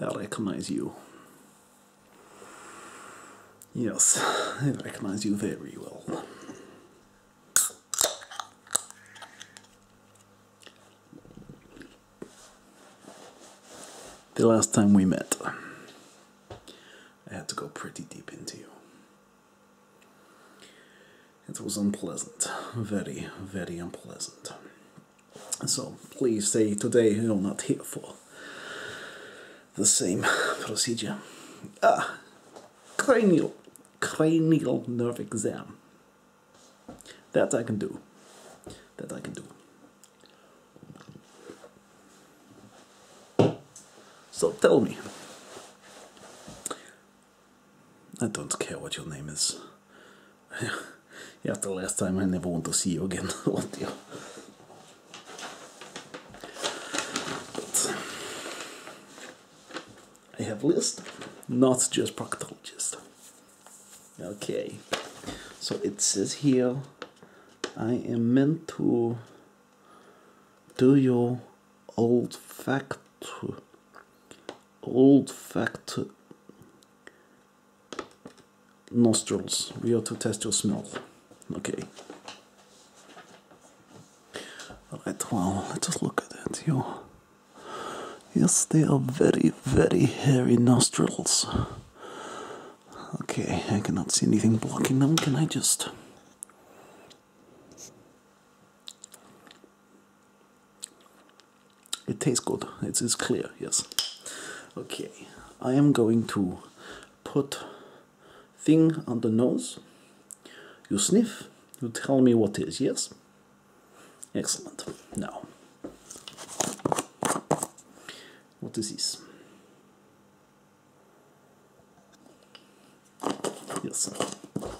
I recognize you. Yes, I recognize you very well. The last time we met. I had to go pretty deep into you. It was unpleasant, very, very unpleasant. So please stay today you're not here for the same procedure. Ah, cranial, cranial nerve exam. That I can do. That I can do. So tell me. I don't care what your name is. After last time, I never want to see you again, I have list, not just proctologist. Okay, so it says here I am meant to do your old fact old fact nostrils. We are to test your smell. Okay. Alright, well, let's just look at it. You Yes, they are very, very hairy nostrils. Okay, I cannot see anything blocking them. Can I just. It tastes good. It is clear, yes. Okay, I am going to put thing on the nose. You sniff, you tell me what is, yes? Excellent. Now, what is this? Yes,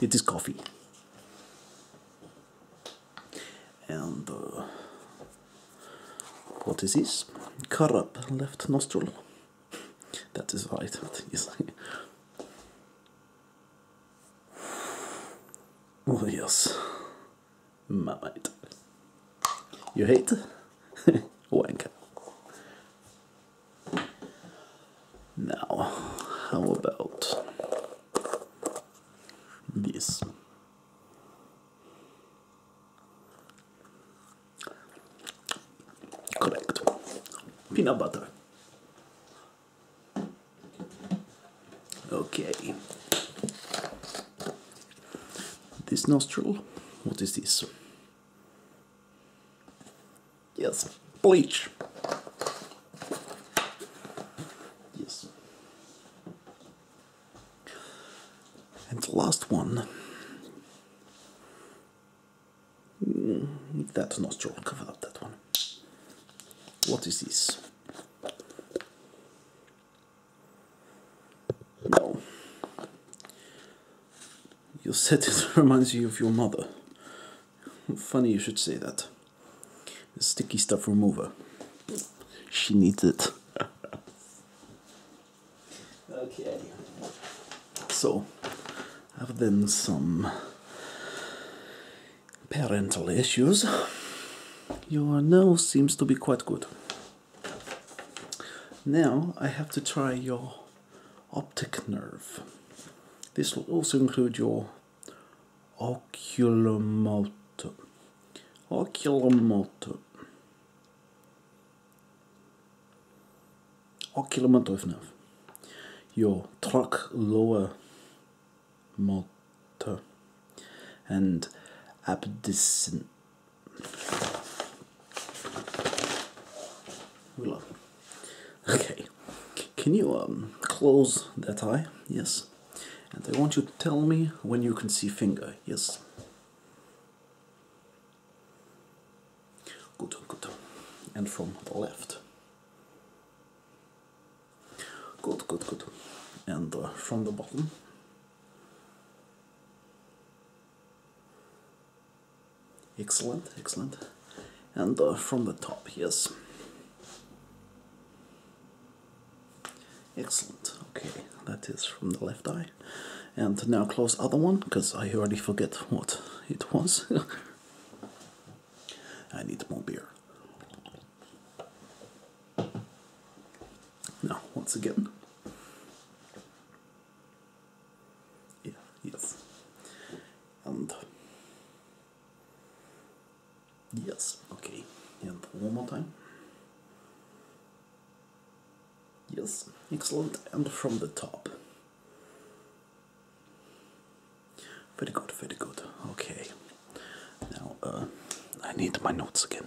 it is coffee. And uh, what is this? up left nostril. That is right, that is. oh, yes, my mind. You hate? Wank. Now, how about this? Correct. Peanut butter. Okay. This nostril, what is this? Yes, bleach. Yes. And last one. Mm, that's not strong about that one. What is this? No. You said it reminds you of your mother. Funny you should say that. sticky stuff remover. She needs it. okay. So, other than some parental issues, your nose seems to be quite good. Now I have to try your optic nerve. This will also include your oculomotor. Oculomotor. Oculomotor nerve. Your truck lower motor and abducent we Okay. Can you um, close that eye? Yes. And I want you to tell me when you can see finger. Yes. Good, good. And from the left. Good, good, good. And uh, from the bottom. Excellent, excellent. And uh, from the top, yes. Excellent, okay, that is from the left eye. And now close other one, because I already forget what it was. I need more beer. Now, once again. Yeah, yes. And yes, okay. And one more time. Yes, excellent. And from the top. Very good, very good. Okay. Now, uh, I need my notes again.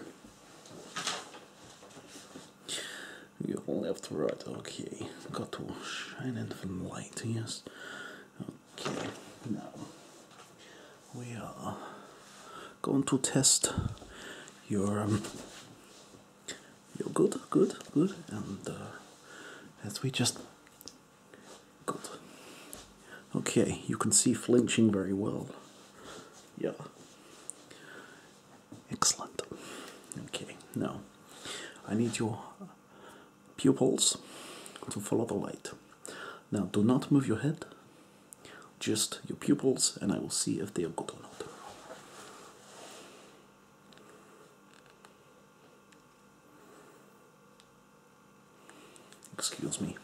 You have to write. okay. Got to shine it from light, yes. Okay, now we are going to test your um, You're good, good, good, and uh, as we just good. Okay, you can see flinching very well. Yeah. Excellent. Okay, now I need your pupils to follow the light. Now, do not move your head, just your pupils, and I will see if they are good or not. Excuse me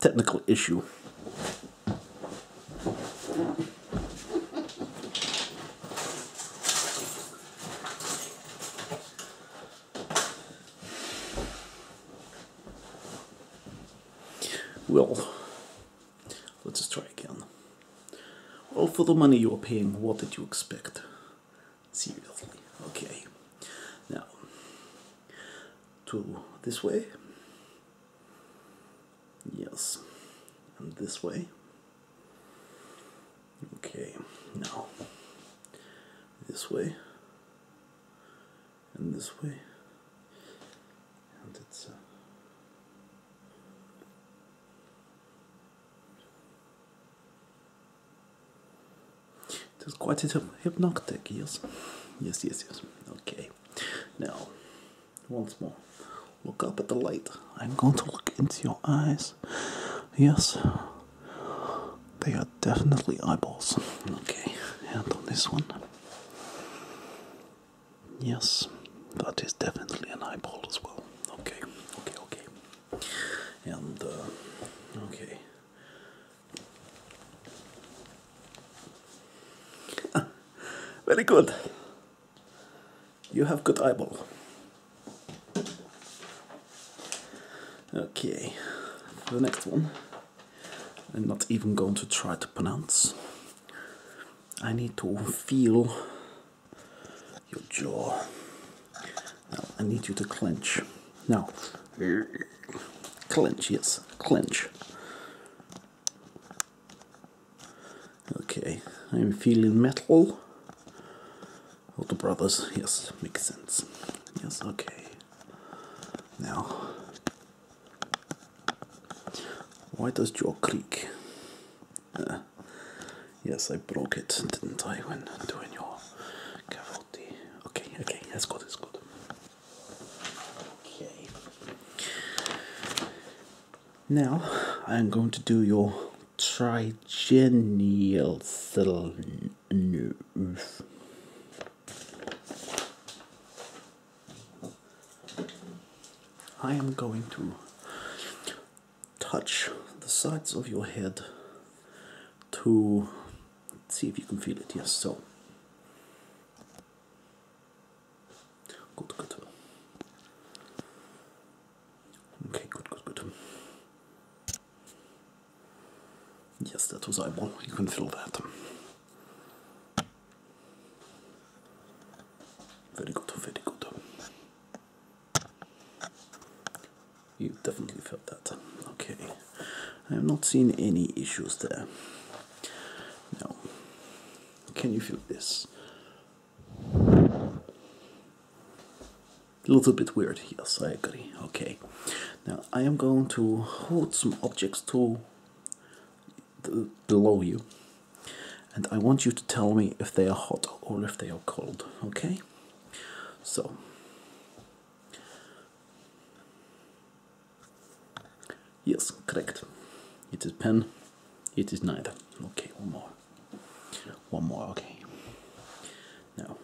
technical issue. Well, let's just try again. Well, for the money you are paying, what did you expect? Seriously, okay. Now, to this way. Yes. And this way. Okay, now this way and this way. And it's uh, it is was quite hypnotic, yes. Yes, yes, yes. Okay. Now, once more, look up at the light. I'm going to look into your eyes. Yes, they are definitely eyeballs. Okay, and on this one. Yes, that is definitely an eyeball as well. Okay, okay, okay. And, uh, okay. Very good. You have good eyeball. Okay, for the next one, I'm not even going to try to pronounce. I need to feel your jaw. I need you to clench. No. clinch yes. clinch. Okay, I'm feeling metal. Older brothers, yes, makes sense. Yes, okay. Now, why does jaw creak? Uh, yes, I broke it, didn't I, when doing your cover? Okay, okay, that's good, that's good. Okay. Now I'm going to do your trigenial cell I am going to touch the sides of your head to see if you can feel it. Yes, so Good, good. Okay, good, good, good. Yes, that was eyeball. You can feel that. Very good, very good. You definitely felt that. Okay. I have not seen any issues there. Now, can you feel this? A little bit weird, yes, I agree. Okay, now I am going to hold some objects to below you, and I want you to tell me if they are hot or if they are cold. Okay, so Yes, correct. It is pen, it is neither. Okay, one more. One more, okay. Now.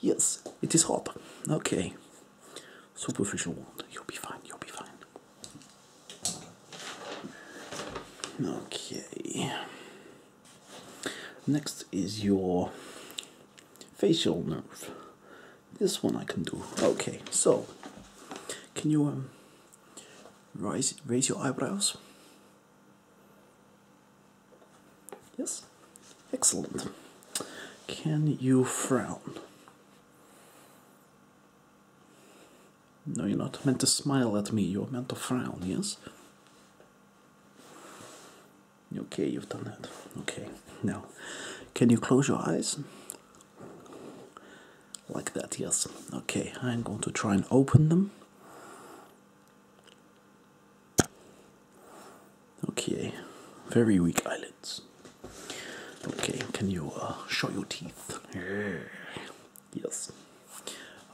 Yes, it is hot. Okay. Superficial wound. You'll be fine, you'll be fine. Okay. Next is your facial nerve. This one I can do. Okay, so can you um, raise raise your eyebrows? Yes, excellent. Can you frown? No, you're not meant to smile at me, you're meant to frown, yes? Okay, you've done that. Okay, now can you close your eyes? Like that, yes. Okay, I'm going to try and open them. Okay, very weak eyelids. Okay, can you uh, show your teeth? Yes.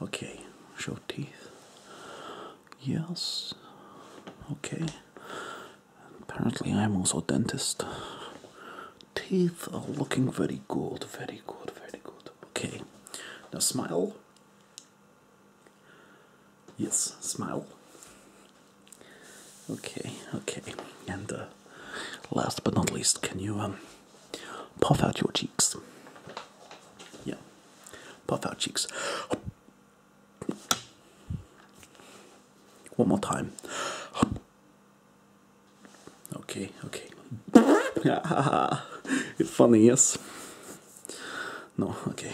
Okay, show teeth. Yes. Okay. Apparently, I'm also dentist. Teeth are looking very good, very good, very good. Okay, now smile. Yes, smile. Okay, okay, and uh, last but not least, can you um, puff out your cheeks? Yeah, puff out cheeks. One more time. Okay, okay. it's funny, yes? No, okay.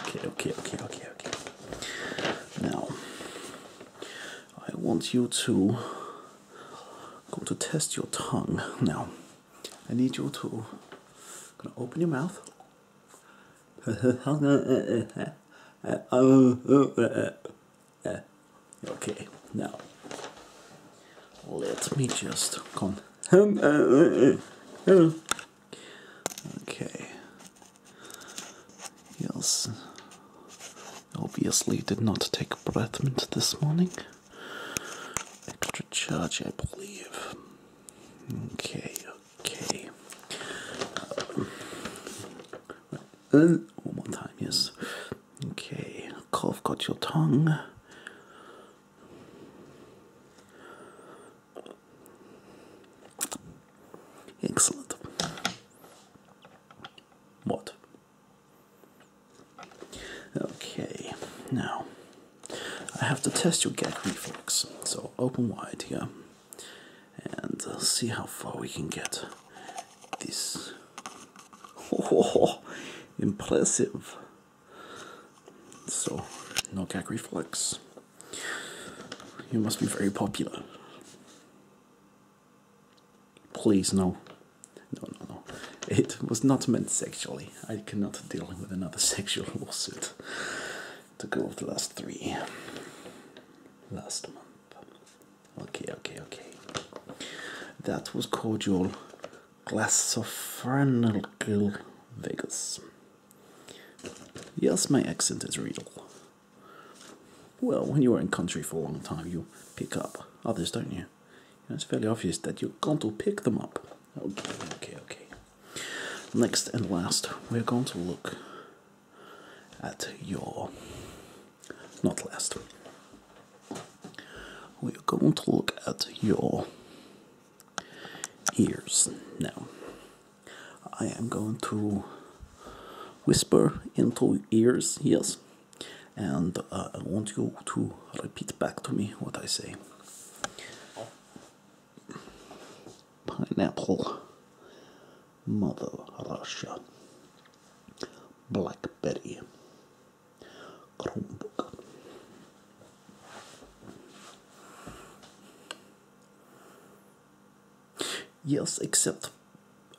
Okay, okay, okay, okay, okay. Now, I want you to go to test your tongue. Now, I need you to gonna open your mouth. Okay, now let me just con. Okay. Yes. Obviously, did not take breath mint this morning. Extra charge, I believe. Okay, okay. Um, one more time, yes. Okay, cough got your tongue. Excellent. What? Okay, now I have to test your gag reflex. So open wide here and uh, see how far we can get this. Oh, impressive. So, no gag reflex. You must be very popular. Please, no. No, no, no. It was not meant sexually. I, cannot deal with another sexual lawsuit to go of the last three last month. Okay, okay, okay. That was cordial glass Vegas. Yes, my accent is real. Well, when you are in country for a long time, you pick up others, don't you? it's fairly obvious that you're going to pick them up. Okay, okay, okay. Next and last, we're going to look at your, not last, we're going to look at your ears now. I am going to whisper into ears, yes, and uh, I want you to repeat back to me what I say pineapple, mother Russia, blackberry, Chromebook. Yes, except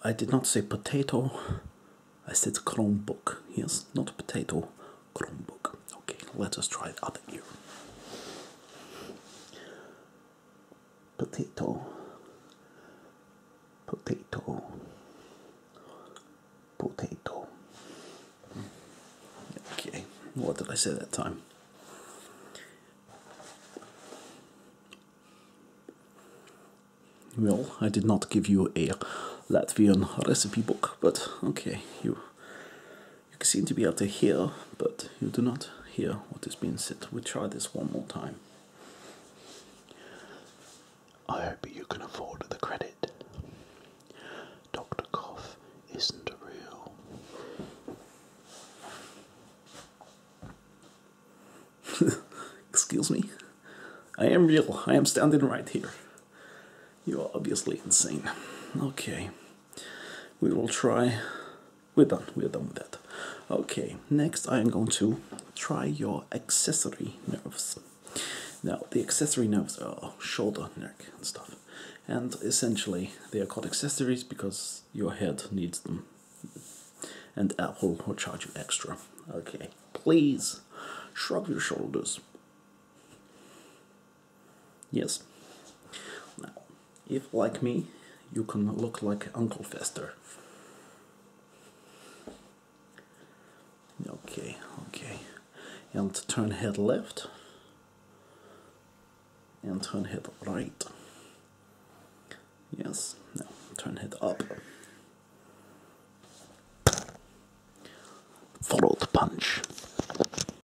I did not say potato. I said Chromebook. Yes, not potato. Chromebook. Okay, let us try the other ear. Potato, potato, potato. Okay, what did I say that time? Well, I did not give you a Latvian recipe book, but okay, you you seem to be able to hear, but you do not hear what is being said. We try this one more time. I hope you can afford the credit. Dr. Cough isn't real. Excuse me? I am real. I am standing right here. You are obviously insane. Okay we will try. We're done, we're done with that. Okay, next I am going to try your accessory nerves. Now, the accessory nerves are shoulder, neck, and stuff. And essentially, they are called accessories because your head needs them. And Apple will charge you extra. Okay, please shrug your shoulders. Yes. Now, if like me, you can look like Uncle Fester. Okay, okay. And turn head left. And turn head right. Yes, now turn head up. Follow the punch.